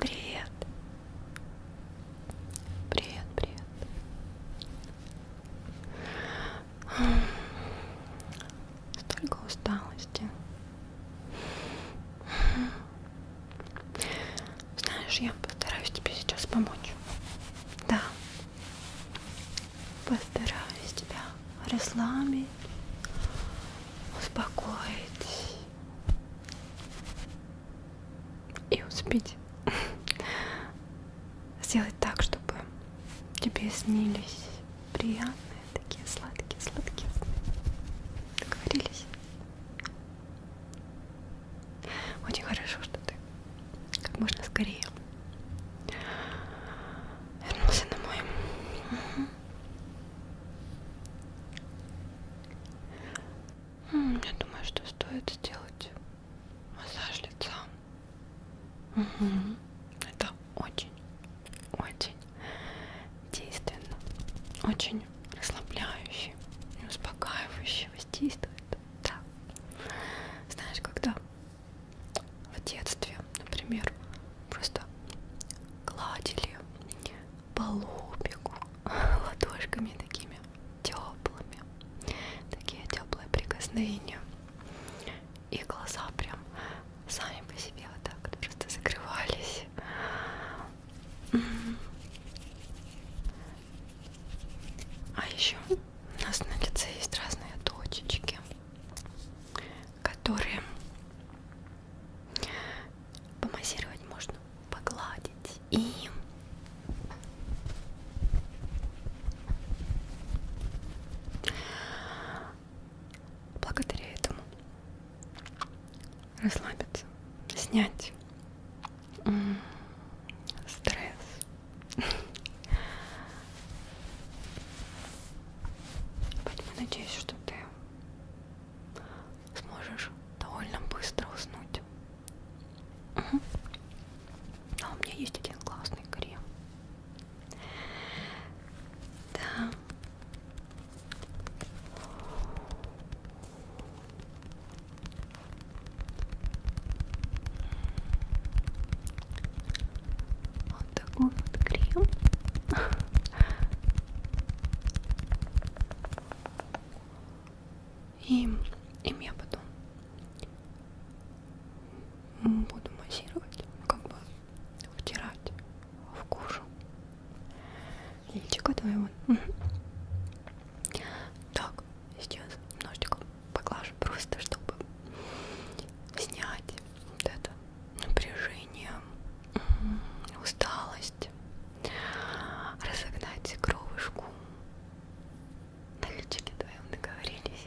Привет. Привет, привет. Столько усталости. Знаешь, я постараюсь тебе сейчас помочь. Да. Постараюсь тебя расслабить, успокоить и успеть сделать так, чтобы тебе снились приятные такие сладкие, сладкие сны. Договорились? Очень хорошо, что ты как можно скорее вернулся домой. Я думаю, что стоит сделать массаж лица. Угу. Это очень, очень действенно, очень расслабляюще и успокаивающе воздействует. Да. Знаешь, когда в детстве, например, просто гладили по лобику ладошками такими теплыми, такие теплые прикосновения, и глаза прям сами по себе вот так вот просто закрывались а еще у нас на лице есть разные точечки, которые помассировать можно, погладить и благодаря этому расслабиться, снять стресс. Поэтому надеюсь, что ты сможешь довольно быстро уснуть. Угу. А у меня есть один классный крем. Да, вот такой вот крем. И им я потом буду массировать, как бы втирать в кожу личико твоего. Так, сейчас ножичком поглажу просто, чтобы снять вот это напряжение, усталость, разогнать кровушку. На личике твоем договорились.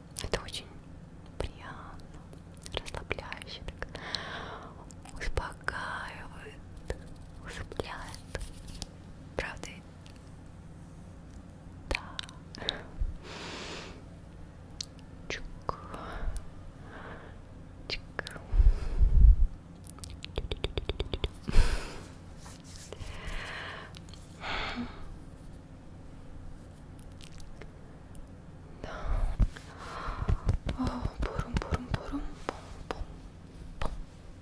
Это очень приятно, расслабляюще, так успокаивает, усыпляет. Правда? Да. Чук. Чук. Да. Бурум, бурум, бурум, пум, пум, пум,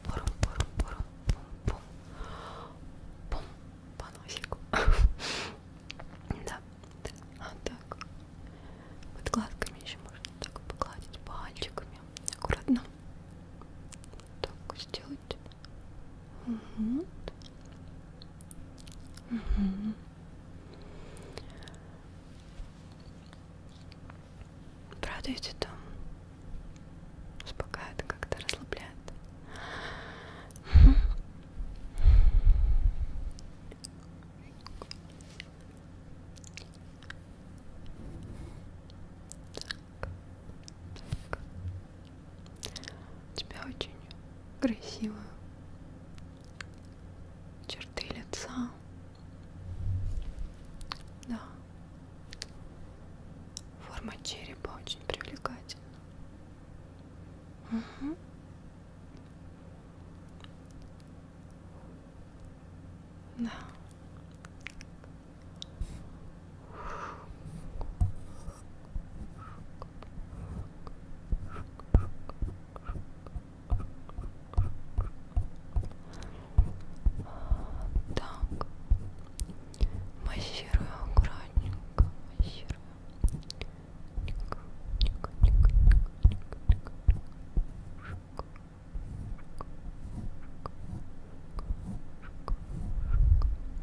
бурум, бурум, бурум, пум, пум, пум, по носику. да. А так. Вот гладками еще можно так погладить пальчиками. Аккуратно так сделать. Угу. Угу. Правда ведь это успокаивает, как-то расслабляет. Угу. Так. У тебя очень красивые черты лица. Да. Форма черепа очень привлекательна. Угу. Да. Так, массируем аккуратненько, массируем. Ой,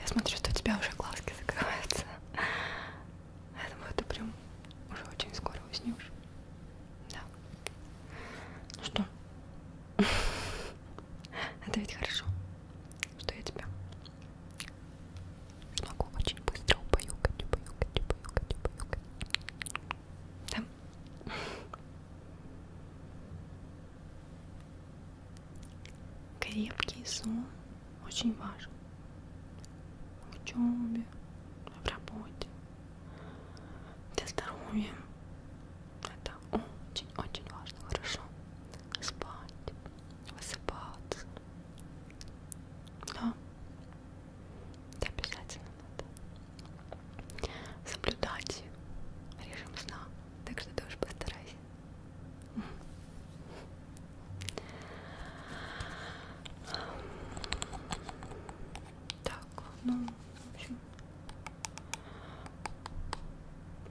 Я смотрю, что у тебя уже глазки закрываются. Я думаю, ты прям уже очень скоро уснешь. Да. Ну что? Это ведь хорошо, что я тебя смогу очень быстро убаюкать, убаюкать, убаюкать, убаюкать. Да? Крепкий сон очень важен в учебе, в работе, для здоровья. Это очень-очень важно, хорошо спать, высыпаться. Да, это обязательно надо соблюдать режим сна. Так что тоже постарайся. Так, ну, в общем,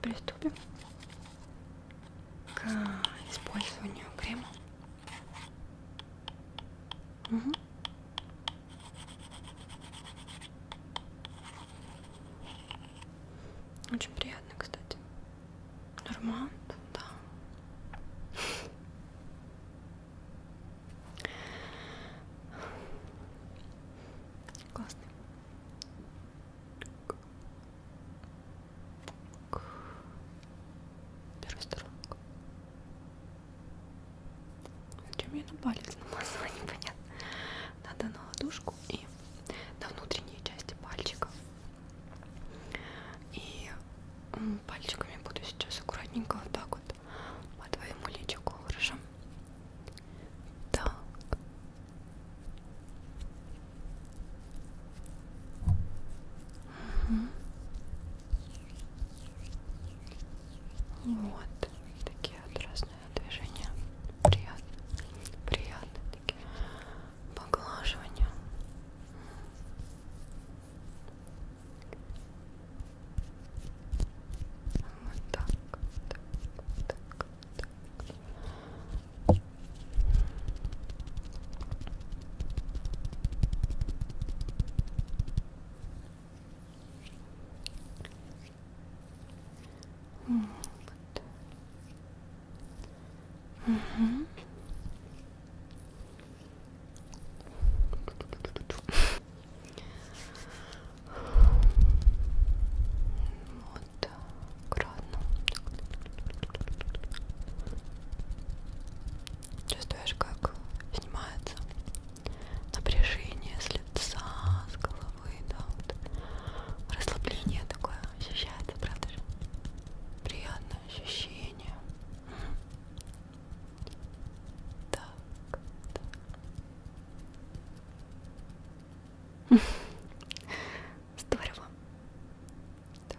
приступим к использованию крема. Угу. Очень приятно, кстати. Норманд, да. Классный. Первый сторон. Зачем я на палец намазала, непонятно. Надо на ладошку и на внутренние части пальчиков. И пальчиками буду сейчас аккуратненько вот так вот по твоему личику, хорошо? Так. Угу. Вот такие вот раз воздушное движение. Приятно. Приятно такие поглаживания. Вот так, так, так, так. Вот. Угу. Вот, аккуратно. Чувствуешь, как снимается? напряжение с лица, с головы, да, вот. расслабление такое ощущается, правда же? Приятное ощущение. Так, так. Здорово. Так.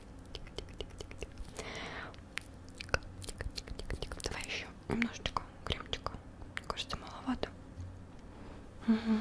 Давай еще немножечко кремчика. Мне кажется, маловато. Угу.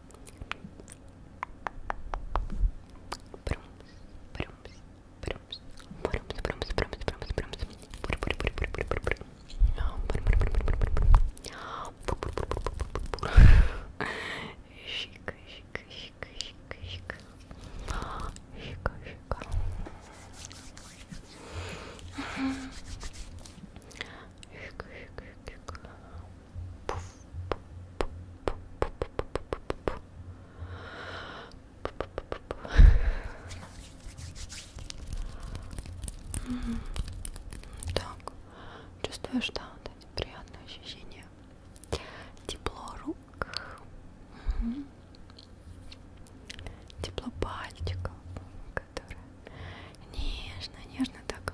Брумс, брумс, брумс, брумс, брумс, брумс, брумс, брумс. Щика, щика, щика, щика, щика. Щика, щика. Щика, щика, щика. Так, чувствуешь, да, вот эти приятные ощущения? Тепло рук, угу. тепло пальчиков, которые нежно-нежно так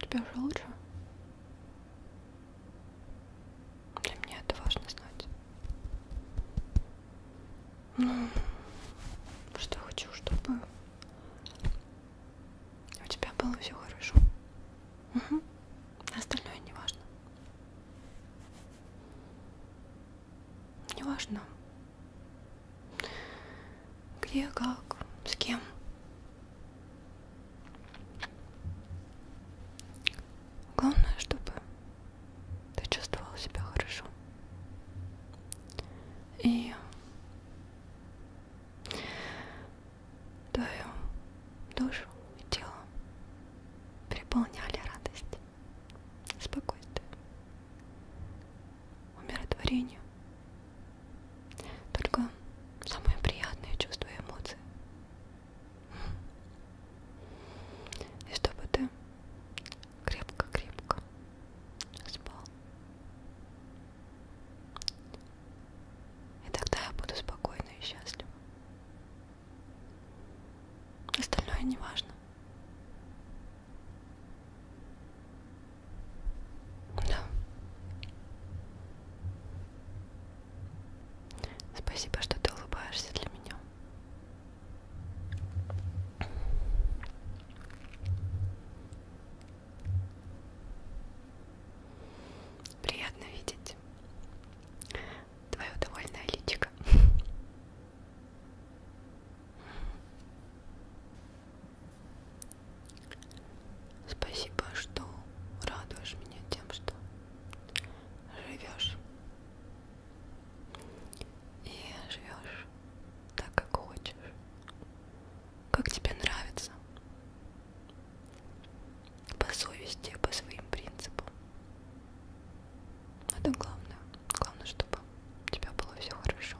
Тебе уже лучше? Для меня это важно знать. Ну, что хочу, чтобы у тебя было все хорошо. Угу. Остальное не важно. Не важно. Где, как, с кем. Главное, чтобы ты чувствовал себя хорошо. И твою душу и тело переполняли радость, спокойствие, умиротворение только самые приятные чувства и эмоции. И чтобы ты крепко-крепко спал. И тогда я буду спокойна и счастлива. Остальное не важно. Да. Спасибо, что ты улыбаешься для меня. Приятно видеть твое довольное личико. Спасибо, что радуешь меня тем, что живешь. И живешь так, как хочешь. Как тебе нравится. По совести, по своим принципам. Это главное. Главное, чтобы у тебя было все хорошо.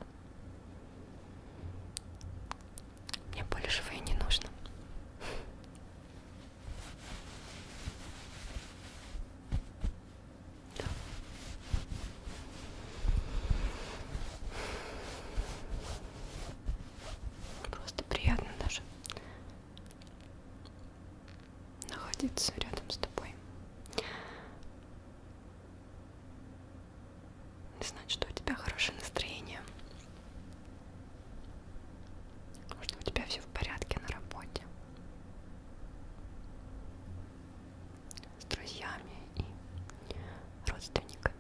Мне большего и не нужно. Да. Просто приятно даже находиться рядом с тобой. Знать, что у тебя хорошее настроение. Что у тебя все в порядке на работе. С друзьями и родственниками.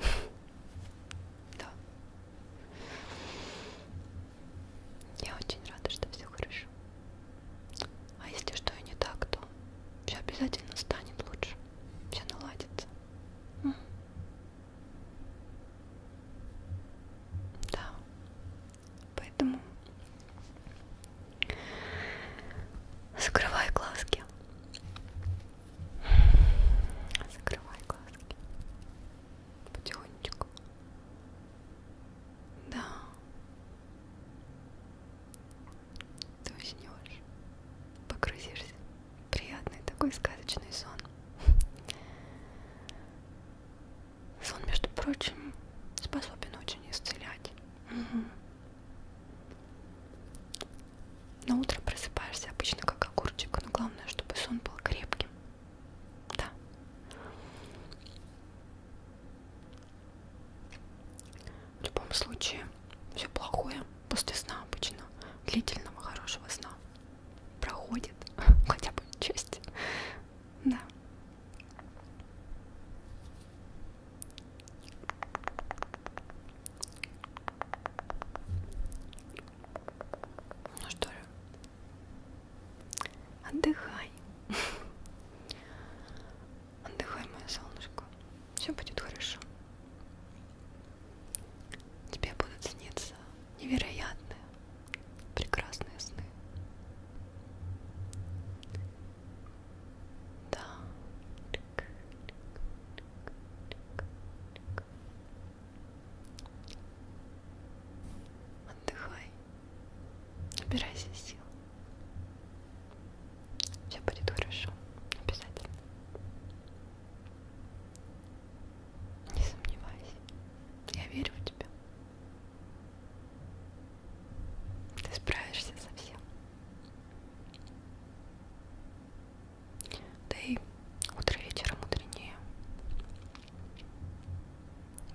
Да. Я очень рада, что все хорошо. А если что и не так, то все обязательно станет лучше все наладится. Да, поэтому закрывай глазки. Закрывай глазки. Потихонечку. Да ты уснешь, погрузишься. Приятный такой сказочный сон. Сон, между прочим, способен очень исцелять. Угу. На утро просыпаешься обычно как огурчик, но главное, чтобы сон был крепким. Да. В любом случае, все плохое после сна обычно, длительного хорошего сна, проходит хотя бы часть. Да. Ну что же, отдыхай. Отдыхай, мое солнышко. Все будет хорошо. Тебе будут сниться невероятные, прекрасные сны. Да. Отдыхай. Набирайся сил. Все будет хорошо, обязательно. Не сомневайся, я верю в тебя. Ты справишься со всем. Да и утро вечером мудренее.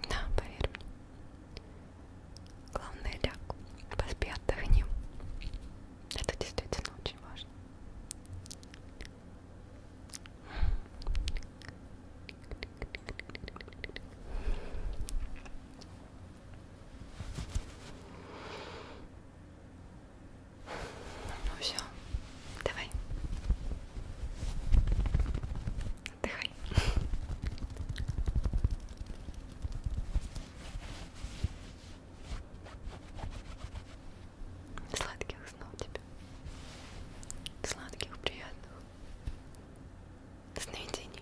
Да, поверь мне. Главное, ляг, поспи, отдохни. Это действительно очень важно. Ну все, давай. Отдыхай. Сладких снов тебе. Сладких, приятных сновидений.